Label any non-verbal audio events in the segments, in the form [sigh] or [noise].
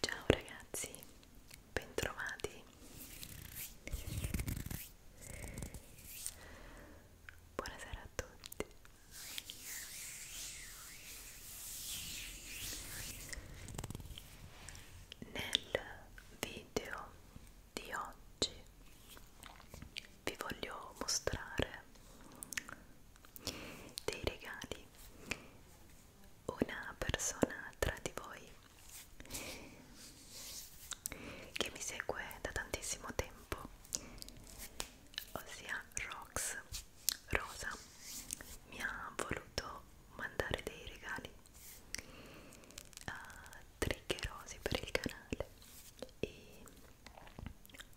Ciao ragazzi, bentrovati. Buonasera a tutti nel video di oggi vi voglio mostrare dei regali una persona tra di voi che mi segue da tantissimo tempo ossia Rox Rosa mi ha voluto mandare dei regali uh, triggerosi per il canale e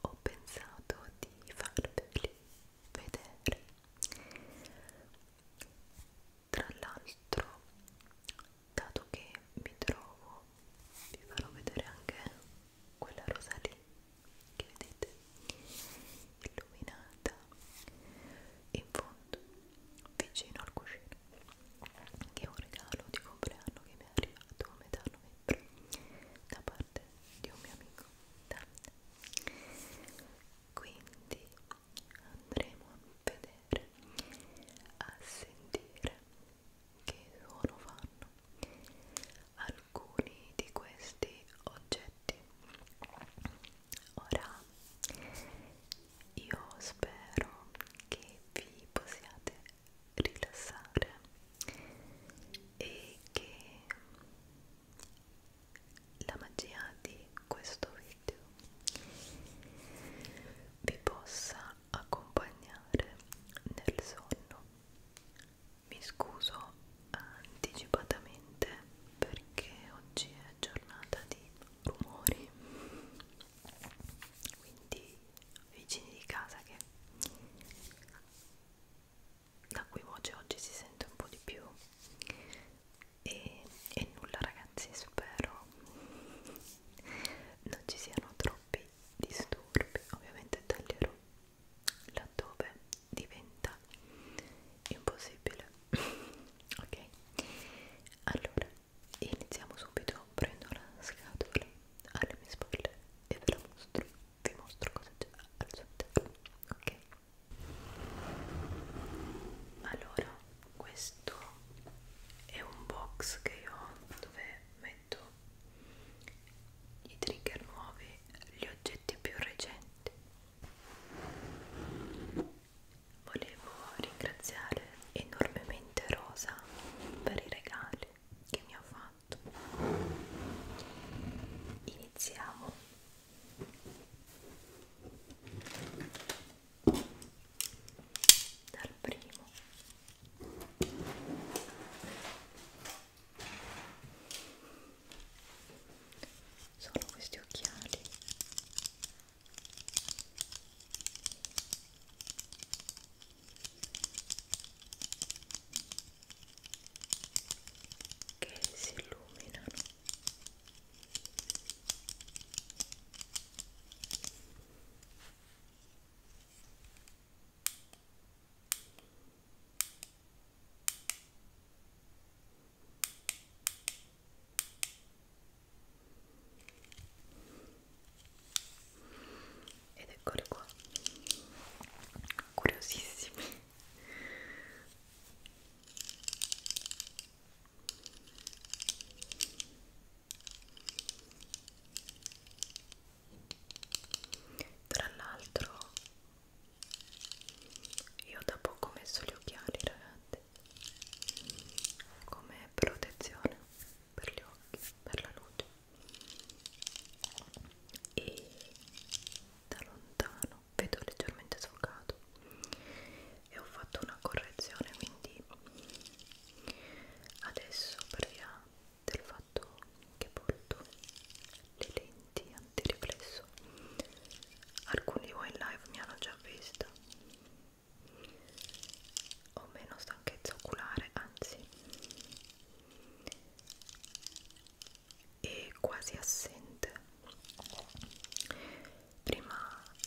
ho pensato di farveli vedere tra l'altro dato che mi trovo vi farò vedere anche quella rosa lì che vedete illuminata in fondo vicino al cuscino che è un regalo di compleanno che mi è arrivato a metà novembre da parte di un mio amico Dante quindi andremo a vedere a sentire che suono fanno al alcuni di questi oggetti ora io spero che vi possiate rilassare e che la magia di questo video vi possa accompagnare nel sonno mi scuso anticipatamente perché oggi è giornata di rumori quindi vicini di casa che la cui voce oggi si sente un po' di più e, e nulla ragazzi spero non ci siano troppi disturbi ovviamente taglierò laddove diventa impossibile [laughs] ok allora iniziamo subito prendo la scatola alle mie spalle e ve la mostro vi mostro cosa c'è al suo interno ok allora questo è un box che io ho dove metto i trigger nuovi, gli oggetti più recenti Volevo ringraziare enormemente Rosa per i regali che mi ha fatto. Iniziamo. Dal primo sono questi occhiali che si illuminano ed eccoli qua curiosissimi tra l'altro io da poco ho messo gli occhiali, ragazzi, come protezione per gli occhi, per la luce. E da lontano vedo leggermente sfocato e ho fatto una correzione, quindi adesso per via del fatto che porto le lenti antiriflesso alcuni di voi in live mi hanno già vista ho meno stanchezza oculare anzi è quasi assente prima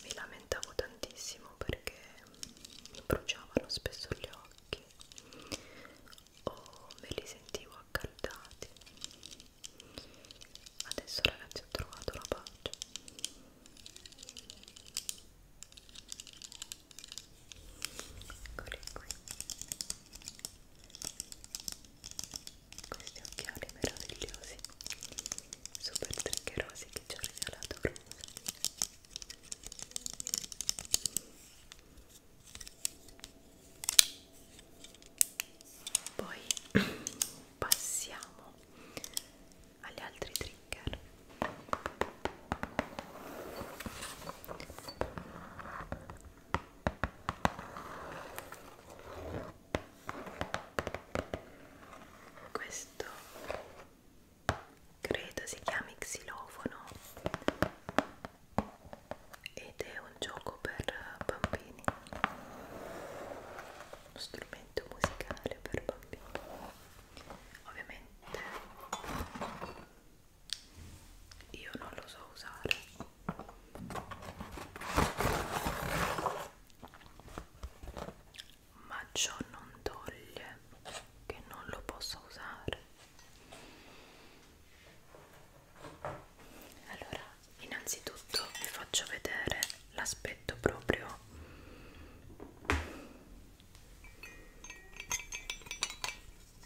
mi lamentavo tantissimo perché mi bruciavano spesso gli occhi o oh, me li sentivo accaldati adesso ragazzi ho trovato la pace eccoli qui questi occhiali meravigliosi super triggerosi che ci ha regalato Rosa poi [clears throat] passiamo agli altri trigger questo credo si chiami xilofono ed è un gioco per eh, bambini uno strumento musicale per bambini ovviamente io non lo so usare ma ciò non toglie che non lo posso usare allora innanzitutto vi faccio vedere l'aspetto proprio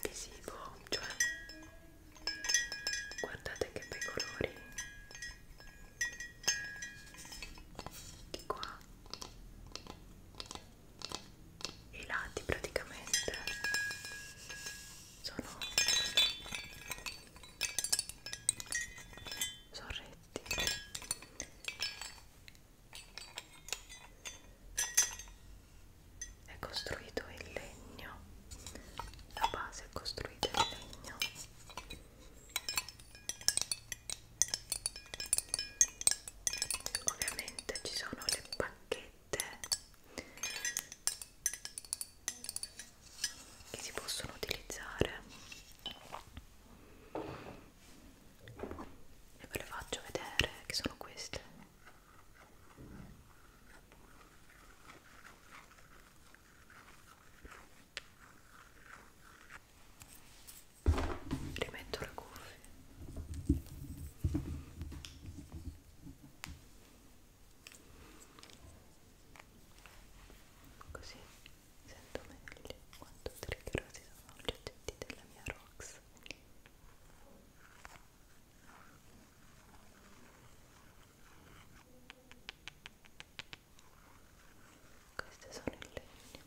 visivo cioè guardate che bei colori di qua i lati praticamente sono sono retti è costruito in legno la base è costruita in legno Ovviamente ci sono le pacchette che si possono utilizzare e ve le faccio vedere che sono queste rimetto le curve Così sento meglio quanto triggerosi sono gli oggetti della mia Rox. Queste sono in legno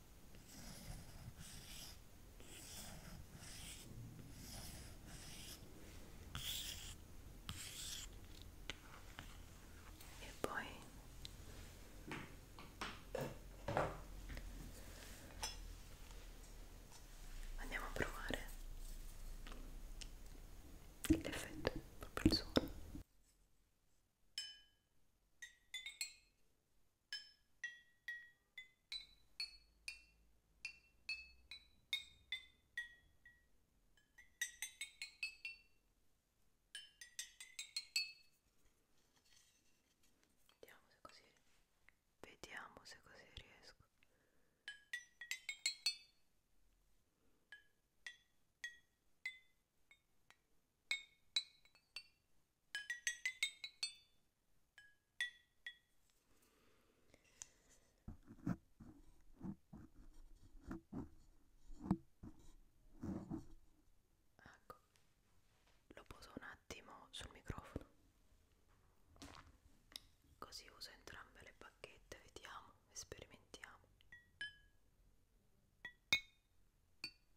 e poi andiamo a provare l'effetto proprio il suono Vediamo se così vediamo se così riesco. Ecco, lo poso un attimo sul microfono, così uso entrambe le bacchette, vediamo, sperimentiamo.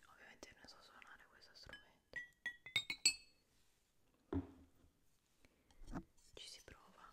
Ovviamente non so suonare questo strumento. Ci si prova.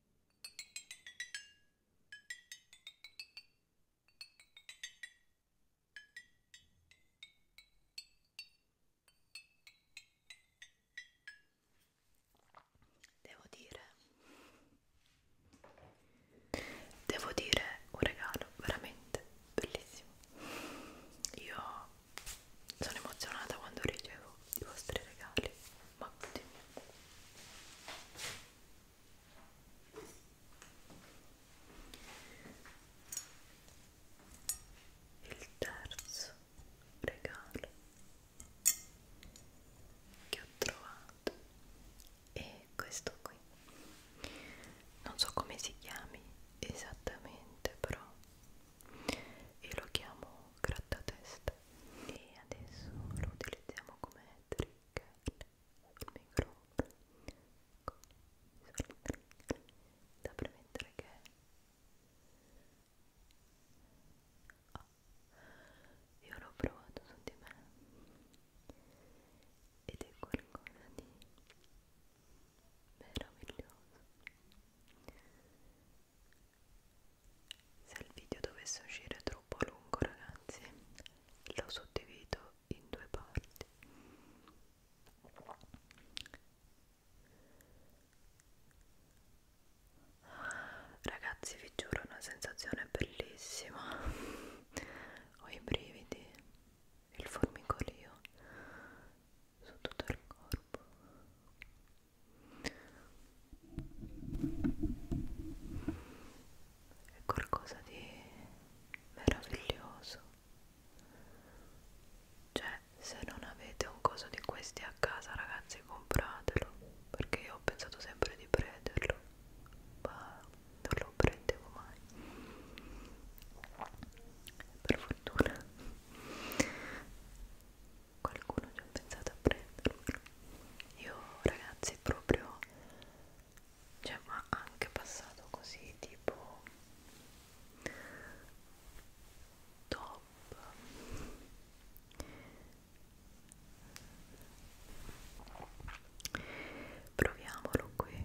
Devo dire, devo dire un regalo veramente bellissimo. Io sono emozionata quando ricevo i vostri regali ma continuiamo il terzo regalo che ho trovato è questo qui non so come si chiami esattamente però io lo chiamo grattatesta e adesso lo utilizziamo come trigger sul microfono ecco, sul trigger da premettere che oh, io l'ho provato su di me ed è qualcosa di meraviglioso se il video dovesse uscire troppo lungo ragazzi lo suddivido in due parti ragazzi vi giuro una sensazione bellissima ho i brividi il formicolio su tutto il corpo è qualcosa di meraviglioso cioè se non avete un coso di questi a casa ragazzi compratelo perché io ho pensato sempre di prenderlo ma non lo prendevo mai per fortuna qualcuno ci ha pensato a prenderlo io ragazzi proprio cioè ma anche passato così tipo top proviamolo qui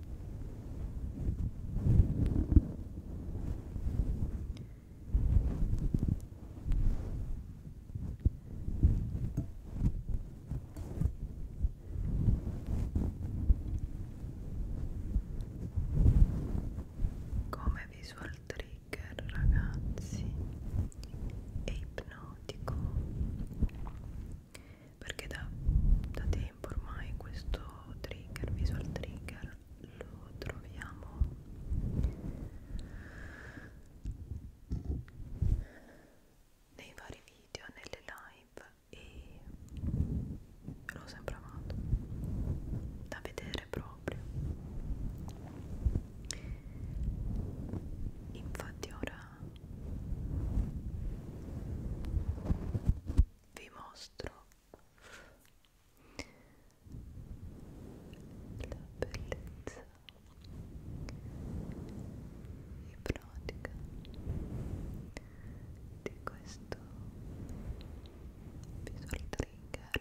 come visual trigger ragazzi è ipnotico perché da, da tempo ormai questo trigger, visual trigger, lo troviamo nei vari video, nelle live e l'ho sempre amato da vedere proprio infatti ora vi mostro la bellezza ipnotica di questo visual trigger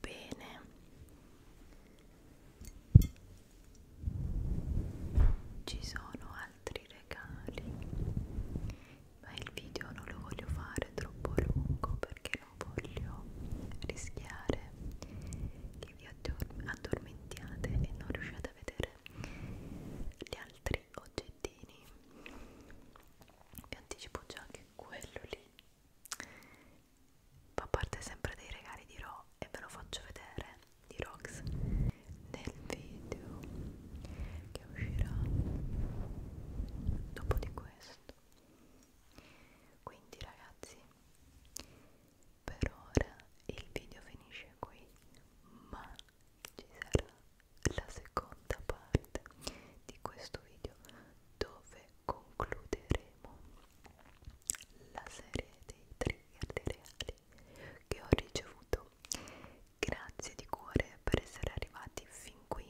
Bene. Ci sono altri regali ma il video non lo voglio fare troppo lungo perché non voglio rischiare che vi addormentiate e non riusciate a vedere gli altri oggettini vi anticipo già che quello lì fa parte sempre dei regali di Ro e ve lo faccio vedere di Rox nel video che uscirà dopo di questo quindi ragazzi per ora il video finisce qui ma ci sarà la seconda parte di questo video dove concluderemo la serie dei trigger dei reali che ho ricevuto Grazie di cuore per essere arrivati fin qui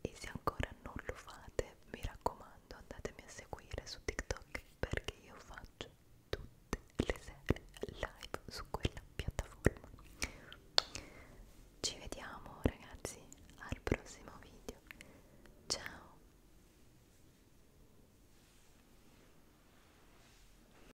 e se ancora non lo fate mi raccomando andatemi a seguire su TikTok perché io faccio tutte le serie live su quella piattaforma. Ci vediamo ragazzi al prossimo video. Ciao!